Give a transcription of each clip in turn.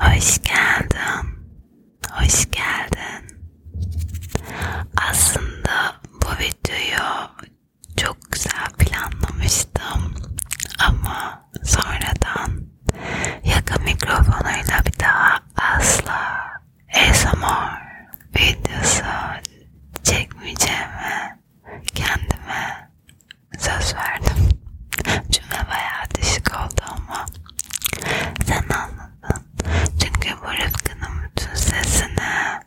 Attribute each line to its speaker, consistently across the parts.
Speaker 1: Hoş geldin. Hoş geldin. Aslında bu videoyu çok güzel planlamıştım ama sonradan yakın mikrofonuyla bir daha asla ASMR videosu çekmeyeceğimi kendime söz verdim. Cümle bayağı dışık oldu ama sen anladın. Çünkü bu Rıfkı'nın bütün sesini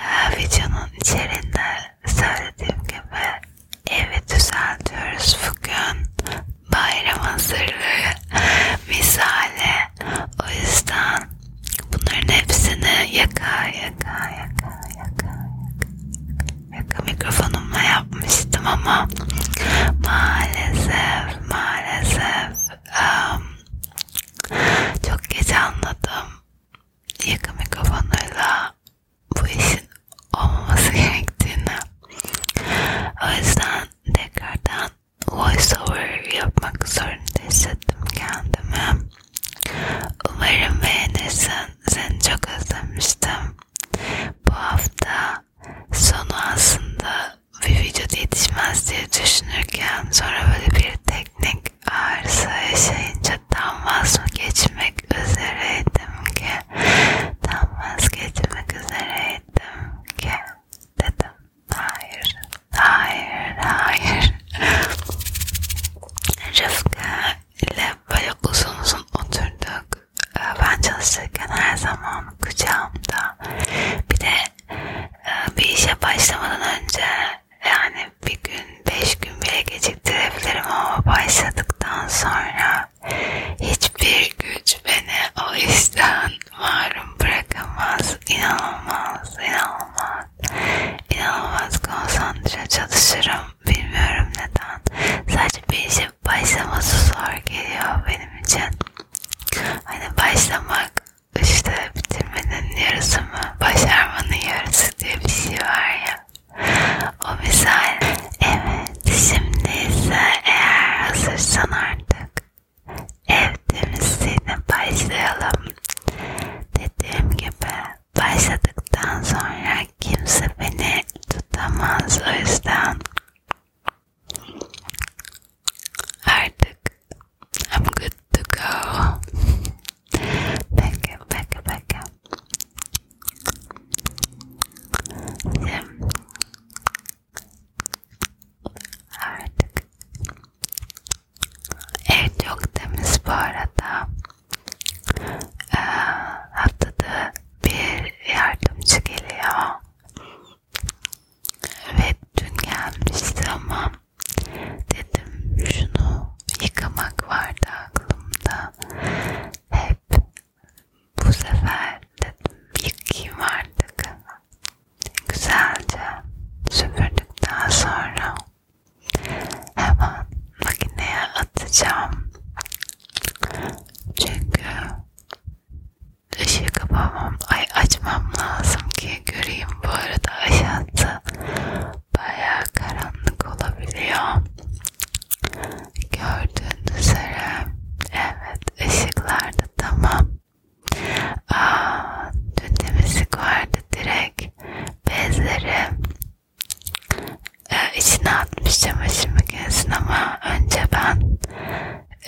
Speaker 1: e, videonun içerisinde söylediğim gibi evi düzeltiyoruz bugün. Bayram hazırlığı misale. O yüzden bunların hepsini yaka yaka yaka yaka yaka mikrofonumla yapmıştım ama maalesef maalesef um, çok geç anladım yaka mikrofonuyla bu işin olmaması gerektiğini. O yüzden tekrardan voiceover yapmak zorunda hissettim kendimi. Umarım beğenirsin. Seni çok özlemiştim. Bu hafta sonu aslında bir video yetişmez diye düşünürken sonra böyle bir teknik arıza yaşayınca tam vazgeçmek üzereydim ki tam vazgeçmek üzereydim ki dedim hayır hayır hayır Rıfkı ile böyle uzun uzun oturduk ee, ben çalışırken her zaman kucağımda bir de e, bir işe başlamadan önce yani bir gün beş gün bile geç çektirebilirim ama başladıktan sonra hiçbir güç beni o işten mahrum bırakamaz. İnanılmaz, inanılmaz, inanılmaz konsantre çalışırım. Bilmiyorum neden. Sadece bir işe başlaması zor geliyor benim için. Hani başlamak işte bitirmenin yarısı mı, başarmanın yarısı diye bir şey var ya. O misal. Evet şimdi ise eğer hazırsan artık ev temizliğine başlayalım. Dediğim gibi başladıktan sonra kimse beni tutamaz o yüzden artık I'm good to go. Peki, peki, peki. Şimdi artık evet yok temiz bu arada. Ee, haftada bir yardımcı geliyor. Evet dün gelmişti ama dedim şunu yıkamak vardı aklımda da hep bu sefer dedim yıkayım artık. Güzelce süpürdükten sonra hemen makineye atacağım. Çünkü ışığı kapamam, ay açmam lazım ki göreyim bu arada aşağıda baya karanlık olabiliyor. Gördüğünüz üzere evet ışıklar da tamam. Aa, dün de müzik vardı direkt bezleri ee, içine atmıştım çamaşır makinesini ama önce ben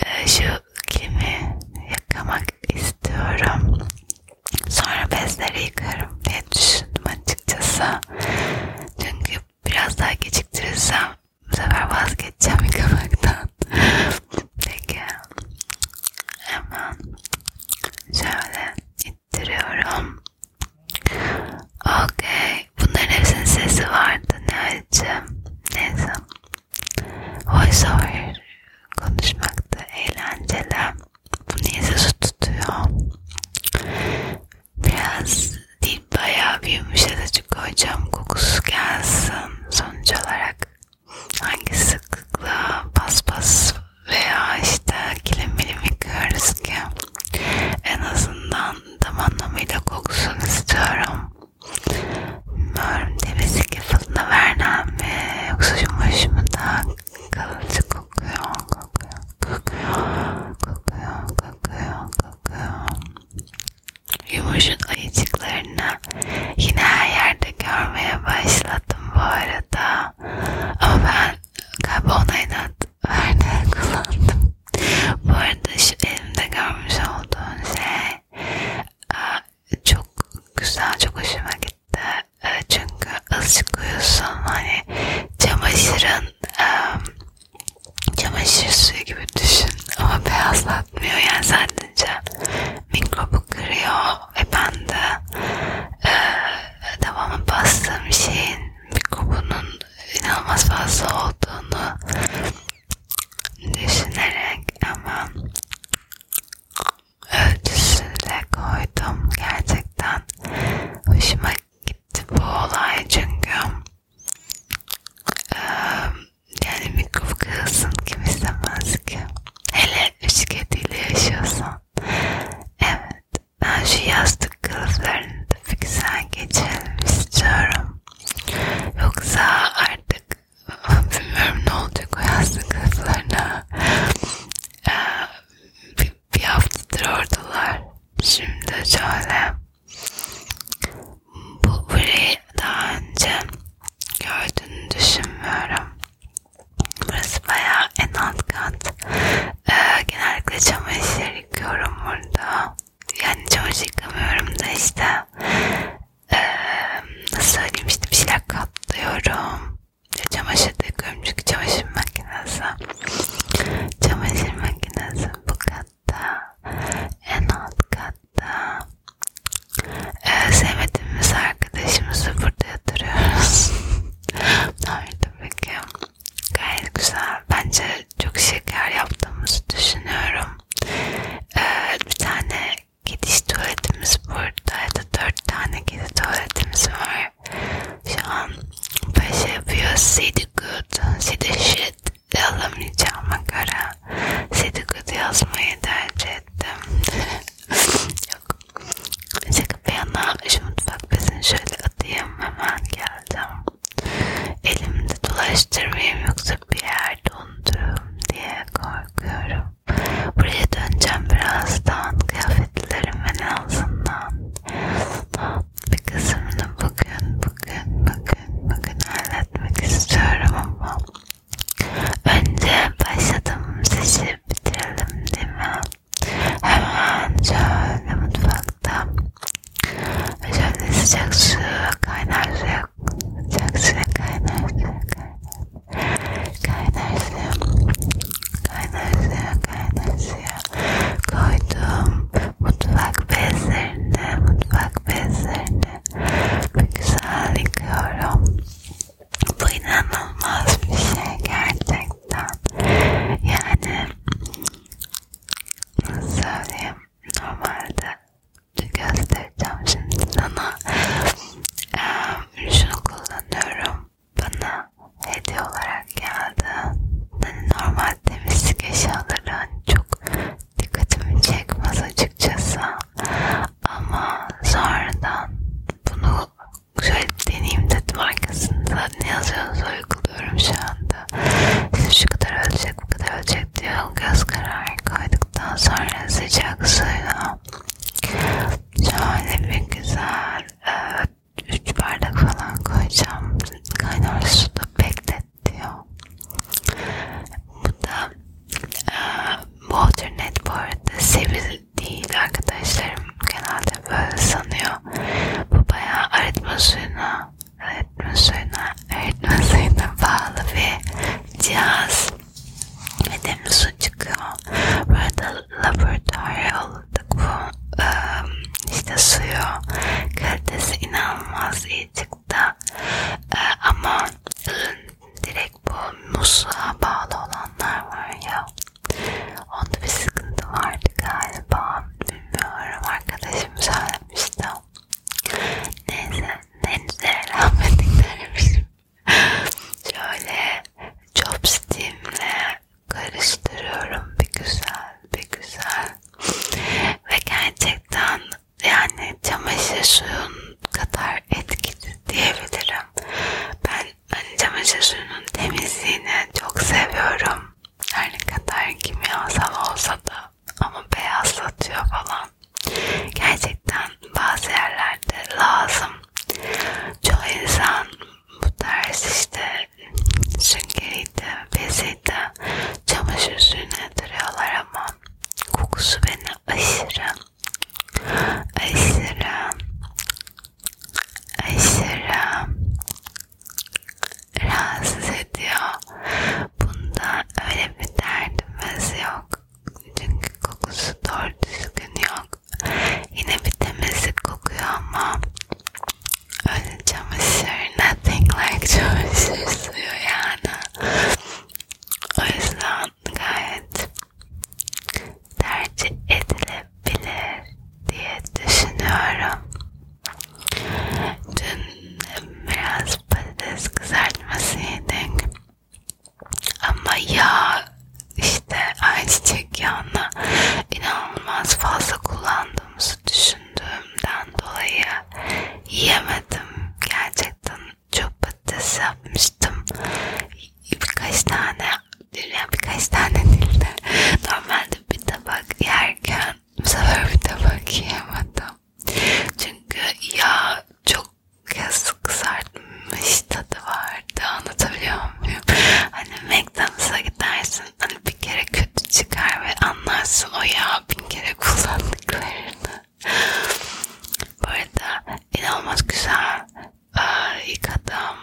Speaker 1: e, şu klimi yıkamak istiyorum. Sonra bezleri yıkarım diye düşündüm açıkçası. Çünkü biraz daha geciktirirsem bu sefer vazgeçeceğim yıkamaktan. Peki. Hemen şöyle ittiriyorum. Okey. Bunların hepsinin sesi vardı ne acım. Neyse. Voice over konuşmak da eğlenceli. Bu niye sesi tutuyor? Biraz değil bayağı bir yumuşatıcı koyacağım kokusu gelsin sonuç olarak. Hangi sıklıkla paspas veya işte kilim bilim yıkıyoruz ki en azından tam anlamıyla kokusunu istiyorum. Bilmiyorum tepesi kefalına vernem mi yoksa yumuş mu tak Kıvılcık kokuyor, kokuyor, kokuyor, kokuyor, kokuyor, kokuyor. Yumuşun ayıcıklarını yine her yerde görmeye başladım bu arada. Ama ben karbonhidrat örneği kullandım. Bu arada şu elimde görmüş olduğun şey çok güzel, çok hoşuma gitti. Ee, çünkü ışık uyusun hani çamaşırın çamaşır suyu gibi düşün ama beyazlatmıyor yani sadece mikrobu kırıyor ve ben de e, devamı bastığım şeyin mikrobunun inanılmaz fazla olduğunu düşünerek ama ölçüsünü de koydum. Gerçekten hoşuma gitti bu olay çünkü ee, yani mikrofon kırılsın kim istemez ki. Hele üç kediyle yaşıyorsan. Evet ben şu yastık kılıflarını da fiksen geçelim istiyorum. Yoksa artık bilmiyorum ne olacak o yastık kılıflarına. Ee, bir haftadır oradalar. Şimdi şöyle bu burayı daha önce gördüğünü düşünmüyorum. Burası bayağı en alt kat. Ee, genellikle çamaşır yıkıyorum burada. Yani çamaşır yıkamıyorum da işte ee, nasıl söyleyeyim işte bir şeyler katlıyorum. İşte çamaşır döküyorum çünkü çamaşır makinesi. Çamaşır makinesi bu katta. En alt katta. Ee, sevmediğimiz arkadaşımızı burada yatırıyoruz. Nerede peki? Gayet güzel. Bence çok şeker yaptığımızı düşünüyorum. Ee, bir tane gidiş tuvaletimiz buradaydı. Dört tane gidi tuvaletimiz var. Şu an paşa yapıyor. See the good, see the shit alamayacağıma göre see the good yazmayı tercih ettim. Yok. Şaka bir yana şu mutfak bezini şöyle atayım. Hemen geldim. Elimde dolaştırmayayım yoksa bir yerde unuturum diye korkuyorum. Buraya döneceğim birazdan. Kıyafetlerimin ağzından. Bir kısmını bugün, bugün, bugün, bugün halletmek istiyorum ama önce başladım sizi bitirelim değil mi? Hemen şöyle mutfakta şöyle sıcak su kaynar suya sıcak suya kaynar suya kaynar kaynar suya kaynar suya kaynar suya koydum mutfak bezlerine mutfak bezlerine bir güzel yıkıyorum bu inanılmaz bir şey gerçekten yani nasıl söyleyeyim normalde göstereceğim şimdi sana. Ee, şunu kullanıyorum. Bana hediye olarak geldi. Hani normal temizlik eşyaları hani çok dikkatimi çekmez açıkçası. Ama sonradan bunu şöyle deneyeyim dedim arkasında ne yazıyorsa uyguluyorum şu anda. İşte şu kadar ölçek bu kadar ölçek diye göz kararı koydum yıkadıktan sonra sıcak suyla şöyle bir güzel 3 e, bardak falan koyacağım. Kaynar suda bekletiyor. Bu da e, Waternet bu arada sivil değil arkadaşlarım genelde böyle sanıyor. Bu bayağı arıtma suyuna arıtma suyuna arıtma suyuna bağlı bir cihaz ve Temmuz'un çıkıyor. Burada laboratuvara aldık bu e, işte suyu kalitesi inanılmaz iyi çıktı. E, ama direkt bu musluğa bağlı olanlar var ya. Onda bir sıkıntı vardı galiba. Bilmiyorum arkadaşım söylemişti. Neyse henüz eğlenmedik dermişim. Şöyle chopstick'imle karıştırıyorum bir güzel bir güzel. Ve gerçekten yani çamaşır suyun kadar etkili diyebilirim. Ben hani çamaşır suyunun temizliğini çok seviyorum. Her ne kadar kimyasal olsa da ama beyazlatıyor falan. Gerçekten bazı yerlerde lazım. Çoğu insan bu tarz işte süngeriydi, beziydi, çamaşır suyuna duruyorlar ama kokusu beni aşırı, aşırı, aşırı rahatsız ediyor. Bunda öyle bir derdimiz yok. Çünkü kokusu doğru düzgün yok. Yine bir temizlik kokuyor ama öyle çamaşır, nothing like çamaşır suyu yani. O yüzden gayet tercih edilebilir diye düşünüyorum. Dün biraz patates kızartması yedik. Ama yağ işte ayçiçek yağını inanılmaz fazla kullandığımızı düşündüğümden dolayı yiyemedim. Gerçekten çok patates yapmıştım. Birkaç tane yani birkaç tane değil de normalde bir tabak yerken bu sefer bir tabak yiyemedim. Çünkü yağ çok kez kızartmış tadı vardı. Anlatabiliyor muyum? Hani McDonald's'a gidersin. Hani bir kere kötü çıkar ve anlarsın o yağ bin kere kullandıklarını. Bu arada inanılmaz güzel ıı, yıkadım.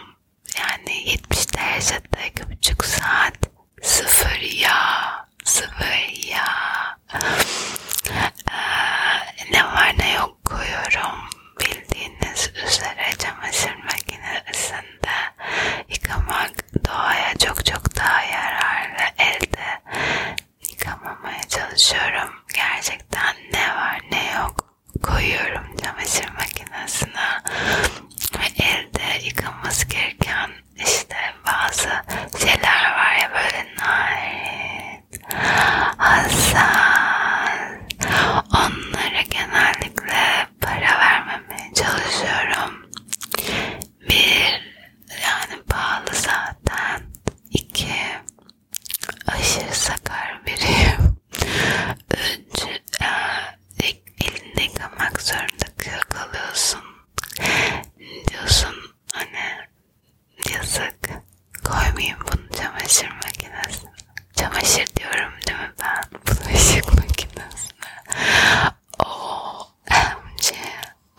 Speaker 1: Yani 70 derecede 2,5 saat sıfır yağ, sıfır yağ. Ee, ne var ne yok koyuyorum. Bildiğiniz üzere çamaşır makinesinde yıkamak doğaya çok çok daha yararlı. Elde yıkamamaya çalışıyorum. Gerçekten ne var ne yok koyuyorum çamaşır makinesine ve elde yıkaması gereken işte bazı şeyler var ya böyle narin, hassas. Onlara genellikle para vermemeye çalışıyorum. Bir, yani pahalı zaten. İki, aşırı sakar biriyim. Üç, e, e elinde yıkamak zorunda kalıyorsun. diyorsun hani yazık koymayayım bunu çamaşır makinesine çamaşır diyorum değil mi ben bulaşık makinesine ooo emci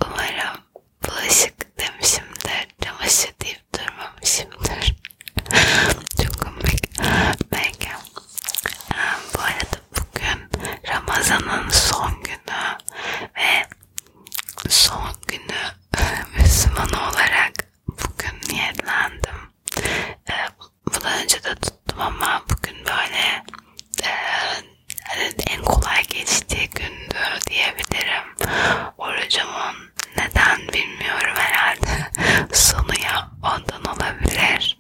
Speaker 1: umarım bulaşık demişimdir çamaşır deyip durmamışımdır çok komik belki bu arada Bugün Ramazan'ın son günü ve son günü e, Müslüman olarak bugün niyetlendim. E, Bundan önce de tuttum ama bugün böyle e, en kolay geçtiği gündü diyebilirim. Orucumun neden bilmiyorum herhalde sonu ya ondan olabilir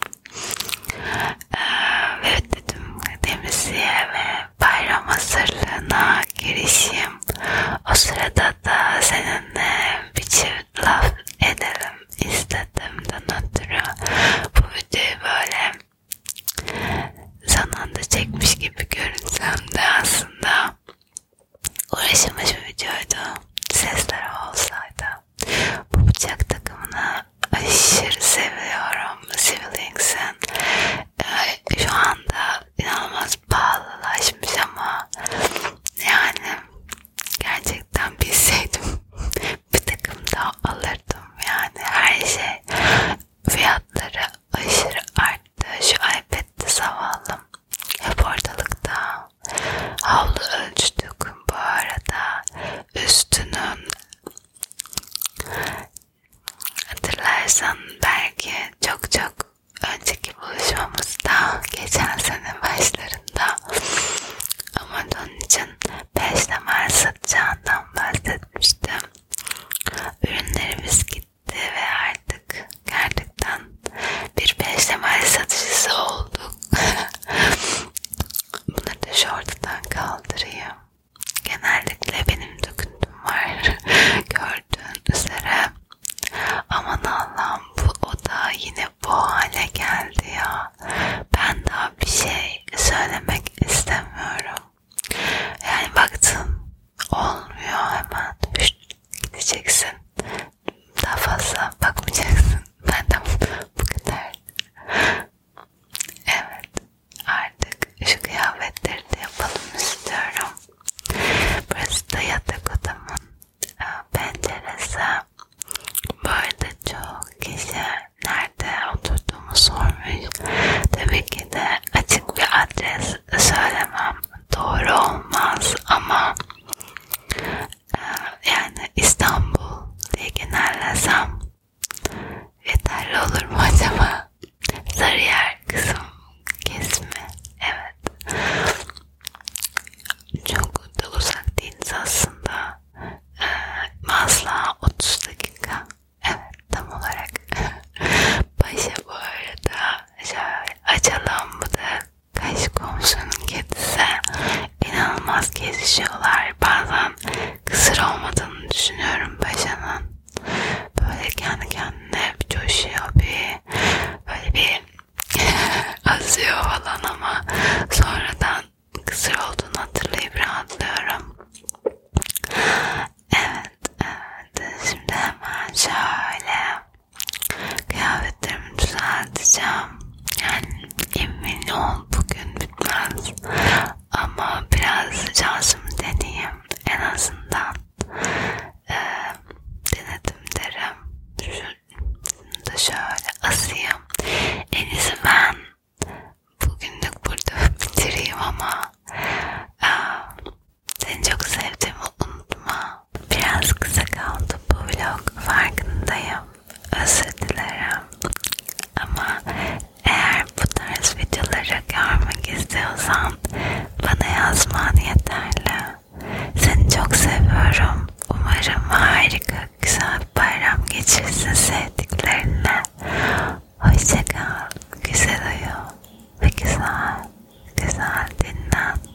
Speaker 1: ve dedim temizliğe ve bayram hazırlığına girişim. O sırada da seninle bir çift laf edelim istediğimden ötürü bu videoyu böyle son anda çekmiş gibi görünsem de aslında uğraşılmış bir videoydu. Sesler olsaydı bu bıçak takımını aşırı seviyorum. Siblings'in ee, şu anda inanılmaz pahalılaşmış ama yani gerçekten bilseydim bir takım daha alırdım. Yani her şey fiyatları aşırı arttı. Şu iPad'de zavallım. Hep ortalıkta havlu ölçtük bu arada üstünün hatırlarsan belki çok çok önceki buluşmamızda geçen sene başlarında ama onun için 5 temel satacağından bahsetmiştim. Ürünlerimiz gitti ve artık gerçekten bir 5 temel satıcısı olduk. Bunları da şu ortadan kaldırayım. Genellikle benim döküntüm var. Gördüğün üzere. Aman Allah'ım bu oda yine bu hale geldi ya. Ben daha bir şey söylemek istemiyorum. Yani baktım olmuyor hemen. Gideceksin. Daha fazla bakmayacaksın. Madem bu kadar. Evet. Artık şu kıyafetleri de yapalım istiyorum. Burası da yatak odamın e, penceresi. Bu arada çok kişi nerede oturduğumu sormuş. Tabii ki de açık bir adres söylemem doğru olmaz ama yani İstanbul diye genellesem yeterli olur mu acaba? Sarıyer kısım kesimi. Evet. Çok da uzak değiliz aslında. Ee, Mazla 30 dakika. Evet tam olarak. Paşa bu arada şöyle açalım bu da Karşı komşunun kedisi inanılmaz kesişiyorlar. Bazen kısır olmadığını düşünüyorum paşanın. Böyle kendi kendine bir coşuyor bir böyle bir azıyor falan ama sonradan kısır olduğunu hatırlayıp rahatlıyorum. Evet, evet. Şimdi hemen şöyle Kıyafetlerimi düzelteceğim. Yani emin ol bugün bitmez. Ama biraz şansımı deneyeyim. En azından e, denedim derim. Şunu da şöyle asayım. En iyisi ben bugünlük burada bitireyim ama e, seni çok sevdiğimi unutma. Biraz kısa kaldı bu vlog farkındayım. Özür dilerim. Ama eğer bu tarz videoları görmek istiyorsan bana yazman yeterli. Seni çok seviyorum. Umarım harika güzel bir bayram geçirsin sevdiklerine. Hoşçakal, güzel uyu ve güzel, güzel dinlen.